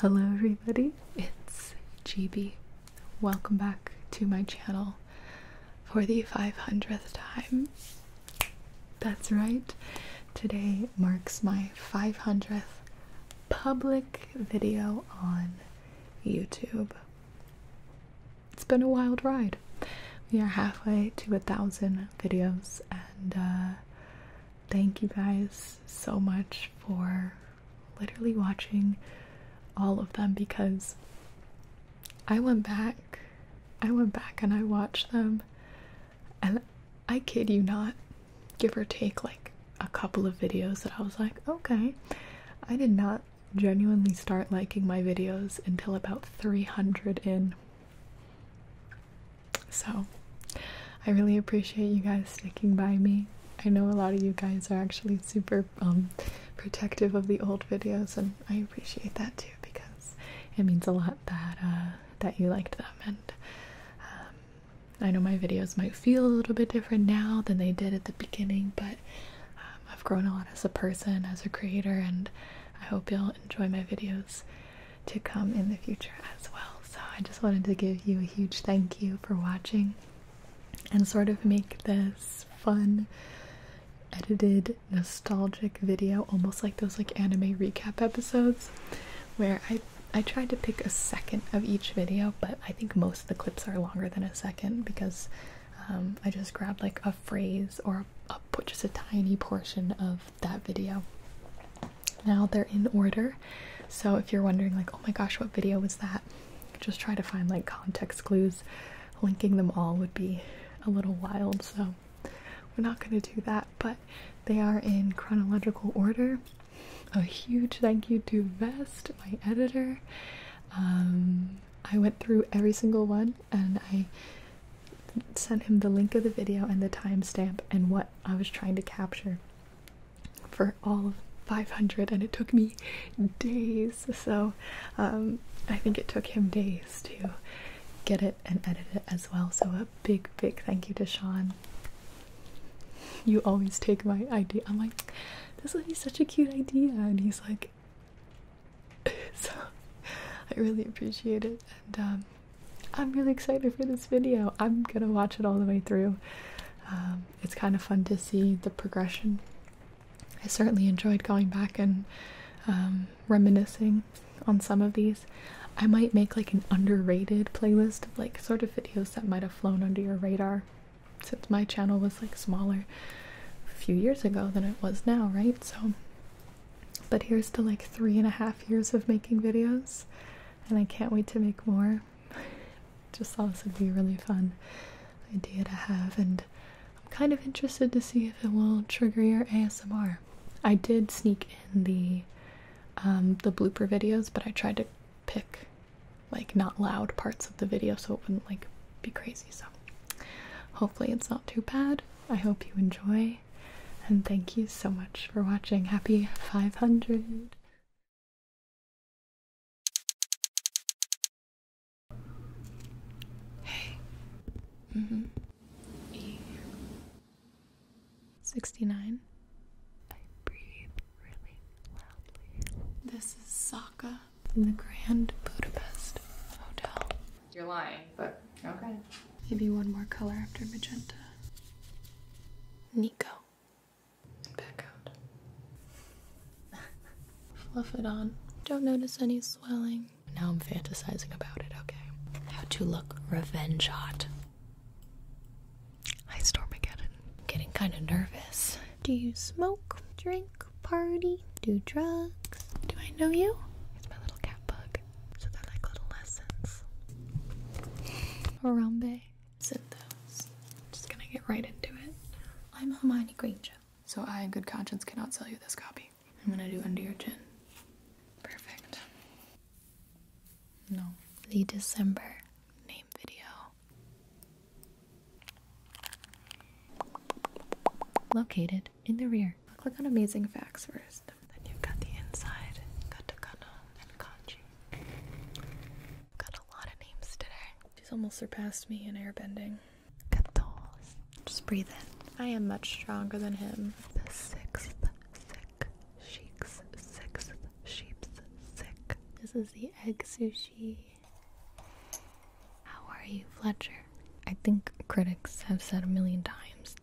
Hello everybody, it's GB. Welcome back to my channel for the 500th time. That's right, today marks my 500th public video on YouTube. It's been a wild ride. We are halfway to a thousand videos and uh, thank you guys so much for literally watching all of them because I went back. I went back and I watched them. And I kid you not, give or take like a couple of videos that I was like, okay. I did not genuinely start liking my videos until about 300 in. So, I really appreciate you guys sticking by me. I know a lot of you guys are actually super um, protective of the old videos, and I appreciate that too because it means a lot that uh, that you liked them. And um, I know my videos might feel a little bit different now than they did at the beginning, but um, I've grown a lot as a person, as a creator, and I hope you'll enjoy my videos to come in the future as well. So I just wanted to give you a huge thank you for watching and sort of make this fun edited nostalgic video almost like those like anime recap episodes where I I tried to pick a second of each video but I think most of the clips are longer than a second because um, I just grabbed like a phrase or a, a, just a tiny portion of that video. Now they're in order, so if you're wondering, like, oh my gosh, what video was that? Just try to find like context clues. Linking them all would be a little wild, so we're not going to do that, but they are in chronological order. A huge thank you to Vest, my editor. Um, I went through every single one and I sent him the link of the video and the timestamp and what I was trying to capture for all of 500 and it took me days so um, I think it took him days to get it and edit it as well so a big big thank you to Sean you always take my idea I'm like this would be such a cute idea and he's like so I really appreciate it and um I'm really excited for this video. I'm gonna watch it all the way through. Um, it's kind of fun to see the progression. I certainly enjoyed going back and um, reminiscing on some of these. I might make like an underrated playlist of like sort of videos that might have flown under your radar since my channel was like smaller a few years ago than it was now, right? So but here's to like three and a half years of making videos, and I can't wait to make more. Just thought this would be a really fun idea to have, and I'm kind of interested to see if it will trigger your ASMR. I did sneak in the um, the blooper videos, but I tried to pick like not loud parts of the video so it wouldn't like be crazy. So hopefully it's not too bad. I hope you enjoy and thank you so much for watching. Happy 500! Hey. Mm hmm. E. 69. I breathe really loudly. This is Saka in the Grand Budapest Hotel. You're lying, but okay. Maybe one more color after magenta. Nico. Back out. Fluff it on. Don't notice any swelling. Now I'm fantasizing about it, okay? How to look revenge hot. I storm again. getting kind of nervous. Do you smoke, drink, party, do drugs? Do I know you? It's my little cat bug. So they're like little lessons. Harambe. Sit those. Just gonna get right into it. I'm Hermione Granger. So I, in good conscience, cannot sell you this copy. I'm gonna do Under Your Chin. Perfect. No. The December name video. Located in the rear. I'll click on Amazing Facts first. Then you've got the inside, katakana, and kanji. Got a lot of names today. She's almost surpassed me in airbending. Katos. Just breathe in. I am much stronger than him. The This is the egg sushi. How are you, Fletcher? I think critics have said a million times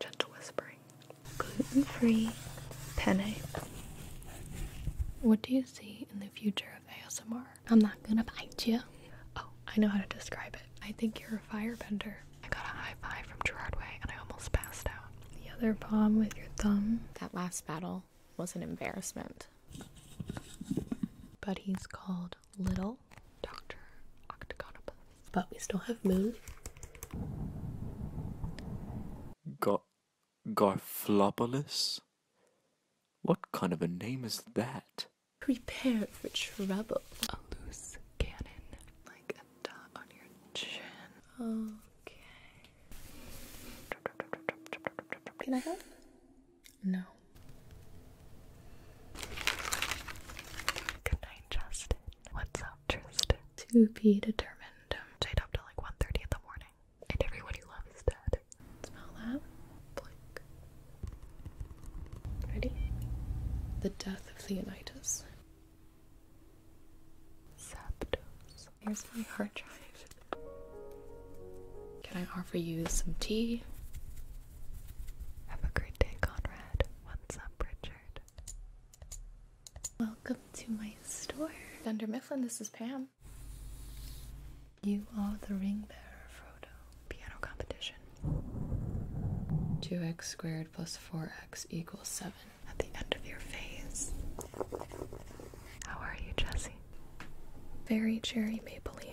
Gentle whispering. Gluten free penne. What do you see in the future of ASMR? I'm not gonna bite you. Oh, I know how to describe it. I think you're a firebender. I got a high five from Gerard Way and I almost passed out. The other palm with your thumb. That last battle was an embarrassment. But he's called Little Dr. Octagonopus. But we still have Moon. Gar Garflopolis? What kind of a name is that? Prepare for trouble. A loose cannon, like a dot on your chin. Okay. Can I help? No. Good night, Justin. What's up, Tristan? To be determined. Stayed up till like 1.30 in the morning. And everyone you love is dead. Smell that? Ready? The death of Leonidas. Zapdos. Here's my hard drive. Can I offer you some tea? Have a great day, Conrad. What's up, Richard? Welcome to my store. Dunder Mifflin, this is Pam. You are the ring bearer, Frodo. Piano competition. 2x squared plus 4x equals 7. At the end of your phase. How are you, Jesse? Very cherry Maybelline.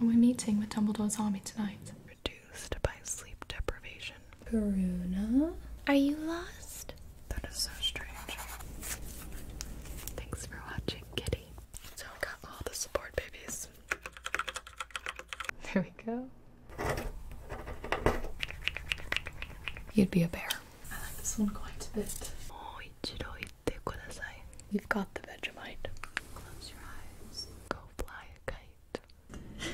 We're meeting with Dumbledore's army tonight. Reduced by sleep deprivation. Karuna? Are you lost? That is so strange. Thanks for watching, kitty. So I got all the support babies. There we go. You'd be a bear. I like this one quite a bit. Oh, they You've got the Vegemite. Close your eyes. Go fly a kite. Just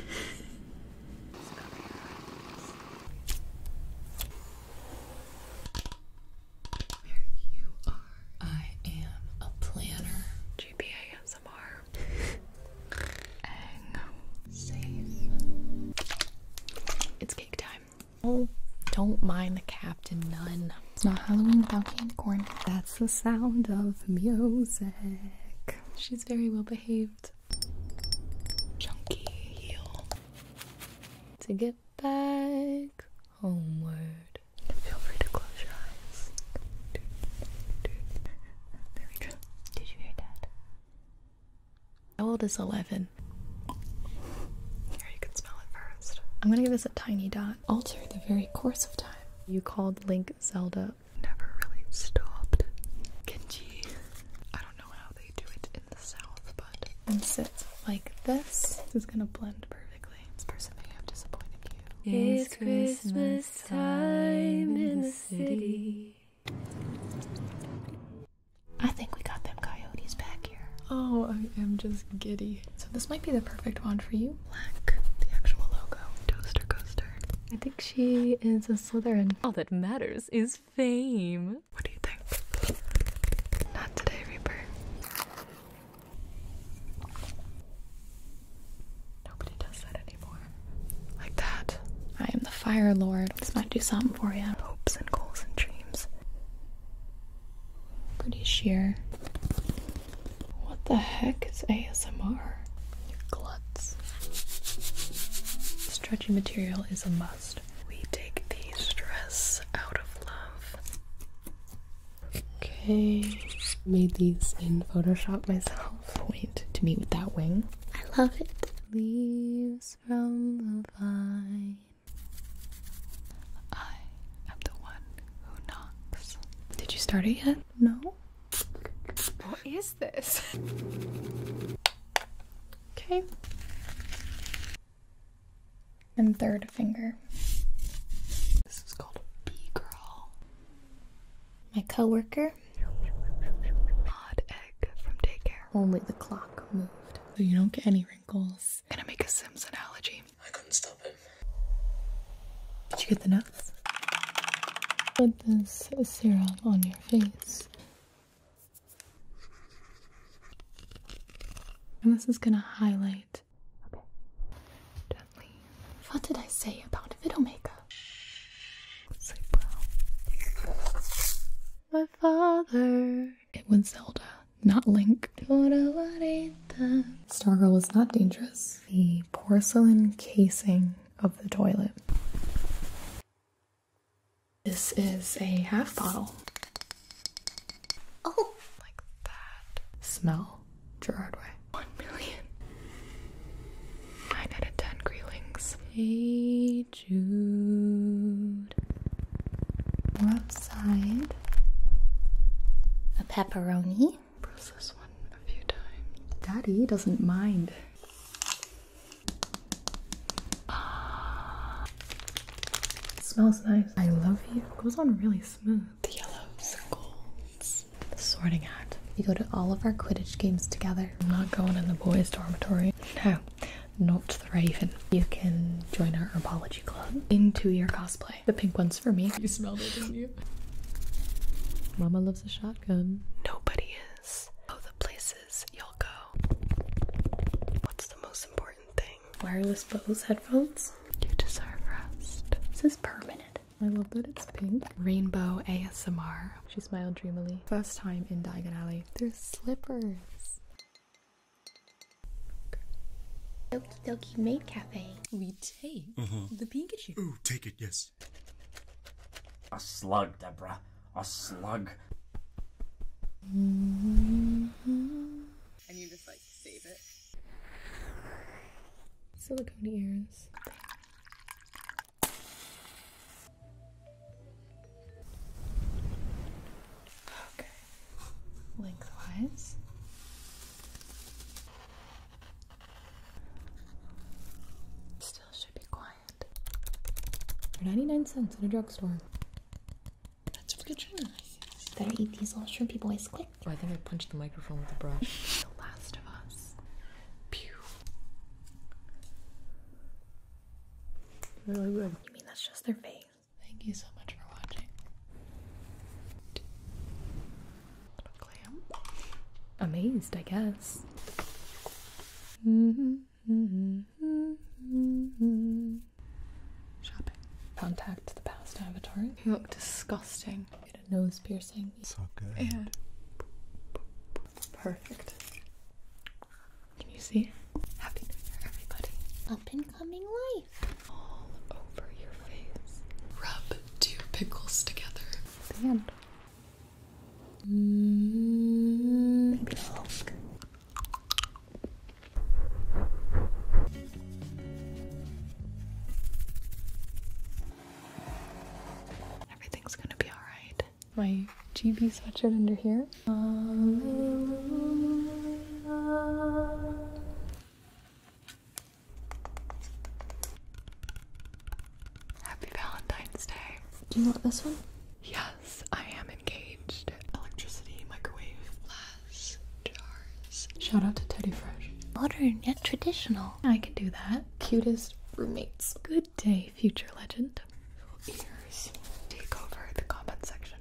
you are. I am a planner. GPASMR. Ang. Safe. It's cake time. Oh, don't mind the captain None. It's not Halloween without candy corn. That's the sound of music. She's very well behaved. Chunky heel. To get back homeward. Feel free to close your eyes. There we Did you hear that? How old is 11? you can smell it first. I'm gonna give this a tiny dot. Alter the very course of time. You called Link Zelda. Never really stopped. Genji. I don't know how they do it in the south, but. And sits like this. This is gonna blend perfectly. This person may have disappointed you. It's Christmas time in the city. I think we got them coyotes back here. Oh, I am just giddy. So this might be the perfect wand for you. Black, the actual logo. Toaster coaster. I think she is a Slytherin. All that matters is fame. What do you think? Not today, Reaper. Nobody does that anymore. Like that. I am the fire lord. This might do something for you. Hopes and goals and dreams. Pretty sheer. What the heck is ASMR? Your gluts. Stretchy material is a must. We take the stress out of love. Okay. Made these in Photoshop myself. Point to meet with that wing. I love it. Leaves from the vine I am the one who knocks. Did you start it yet? No. What is this? Okay. And third finger. This is called a girl. My coworker. Odd egg from daycare. Only the clock moved. So you don't get any wrinkles. He's gonna make a Sims analogy. I couldn't stop him. Did you get the notes? Put this serum on your face. And this is gonna highlight. Okay. Gently. What did I say about video makeup? So, wow. My father. It was Zelda not Link. Stargirl is not dangerous. The porcelain casing of the toilet. This is a half bottle. Oh, like that. Smell Gerard Way. One million. Nine out of ten Greelings. Hey Jude. Outside A pepperoni. Process one a few times. Daddy doesn't mind. Ah. smells nice. I love you. It goes on really smooth. The yellows and golds. sorting hat. We go to all of our Quidditch games together. I'm not going in the boys' dormitory. No not the raven. You can join our herbology club into your cosplay. The pink one's for me. You smelled it, didn't you? Mama loves a shotgun. Nobody is. Oh, the places you all go. What's the most important thing? Wireless Bose headphones. You deserve rest. This is permanent. I love that it's pink. Rainbow ASMR. She smiled dreamily. First time in Diagon Alley. There's slippers. Doki Doki Maid Cafe. We take uh mm-hmm. -huh. the Pikachu. Ooh, take it, yes. A slug, Deborah. A slug. And you just like save it. Silicone ears. Okay lengthwise. Still should be quiet. For 99 cents at a drugstore. That's pretty true. Better eat these little shrimpy boys quick. Oh, I think I punched the microphone with the brush. the Last of Us. Pew. Really good. You mean that's just their face? Thank you so much for watching. Amazed, I guess. Mm-hmm. Shopping. Contact the past avatar. You look disgusting. Get a nose piercing. So good. Yeah. perfect. Can you see? Happy New Year, everybody. Up and coming life. All over your face. Rub two pickles together. The end. Mm, baby Everything's gonna be alright. My GB sweatshirt under here Happy Valentine's Day. Do you want this one? Yes, I am engaged. Electricity, microwave, glass, jars. Shout out to Teddy Fresh. Modern yet traditional. I can do that. Cutest roommates. Good day, future legend take over the comment section.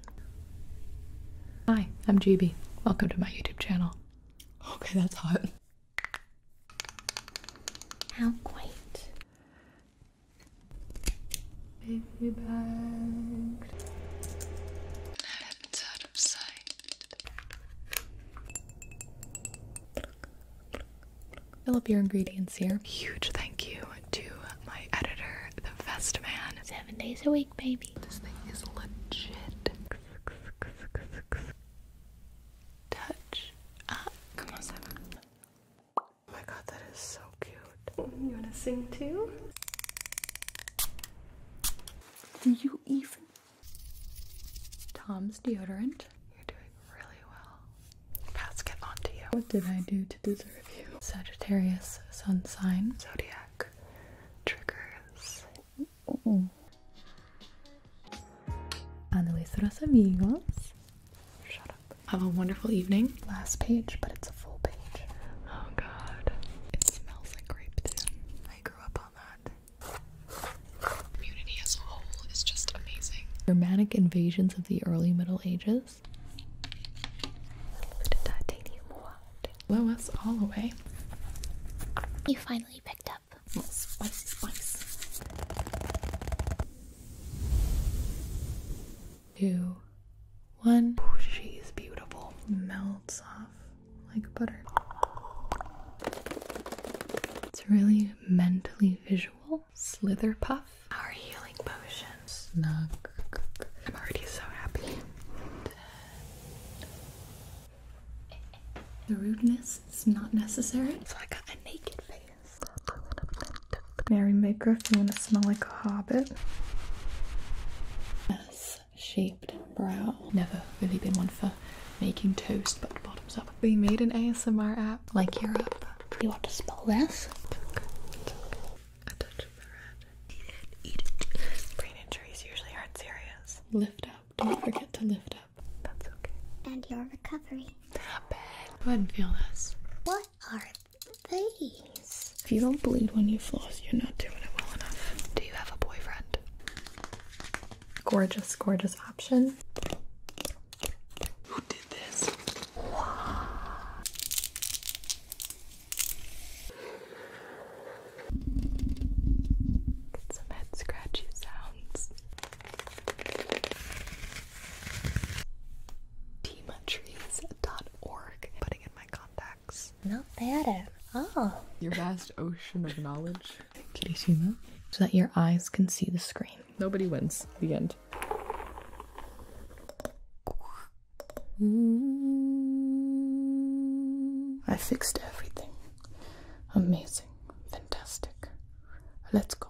Hi, I'm GB. Welcome to my YouTube channel. Okay, that's hot. How quaint. Baby bag. your ingredients here. Huge thank you to my editor, the best man. Seven days a week, baby. This thing is legit. Touch ah, Come on, seven. Oh my god, that is so cute. You wanna sing too? Do you even? Tom's deodorant. You're doing really well. Pats, get on you. What did I do to deserve Sagittarius sun sign. Zodiac triggers. Uh -uh. Shut up. Have a wonderful evening. Last page, but it's a full page. Oh god. It smells like grape I grew up on that. Community as a whole is just amazing. Germanic invasions of the early Middle Ages. Oops. The titanium wand. Blow us all away. You finally picked up. Well, Two, one. she's beautiful. Melts off like butter. It's really mentally visual. Slither puff our healing potions. Snug. I'm already so happy. The rudeness is not necessary. So I got a naked face. Mary if you want to smell like a hobbit. S shaped brow. Never really been one for making toast, but bottoms up. We made an ASMR app like Europe. You want to smell this? Brain injuries usually aren't serious. Lift up. Don't forget to lift up. That's okay. And your recovery. Not bad. Go ahead and feel this. What are these? If you don't bleed when you floss, you're not doing it well enough. Do you have a boyfriend? Gorgeous, gorgeous option. Who did this? Some head scratchy sounds. Teamatrees.org. Putting in my contacts. Not bad at all. Your vast ocean of knowledge. Kirishima. So that your eyes can see the screen. Nobody wins. The end. Mm. I fixed everything. Amazing. Fantastic. Let's go.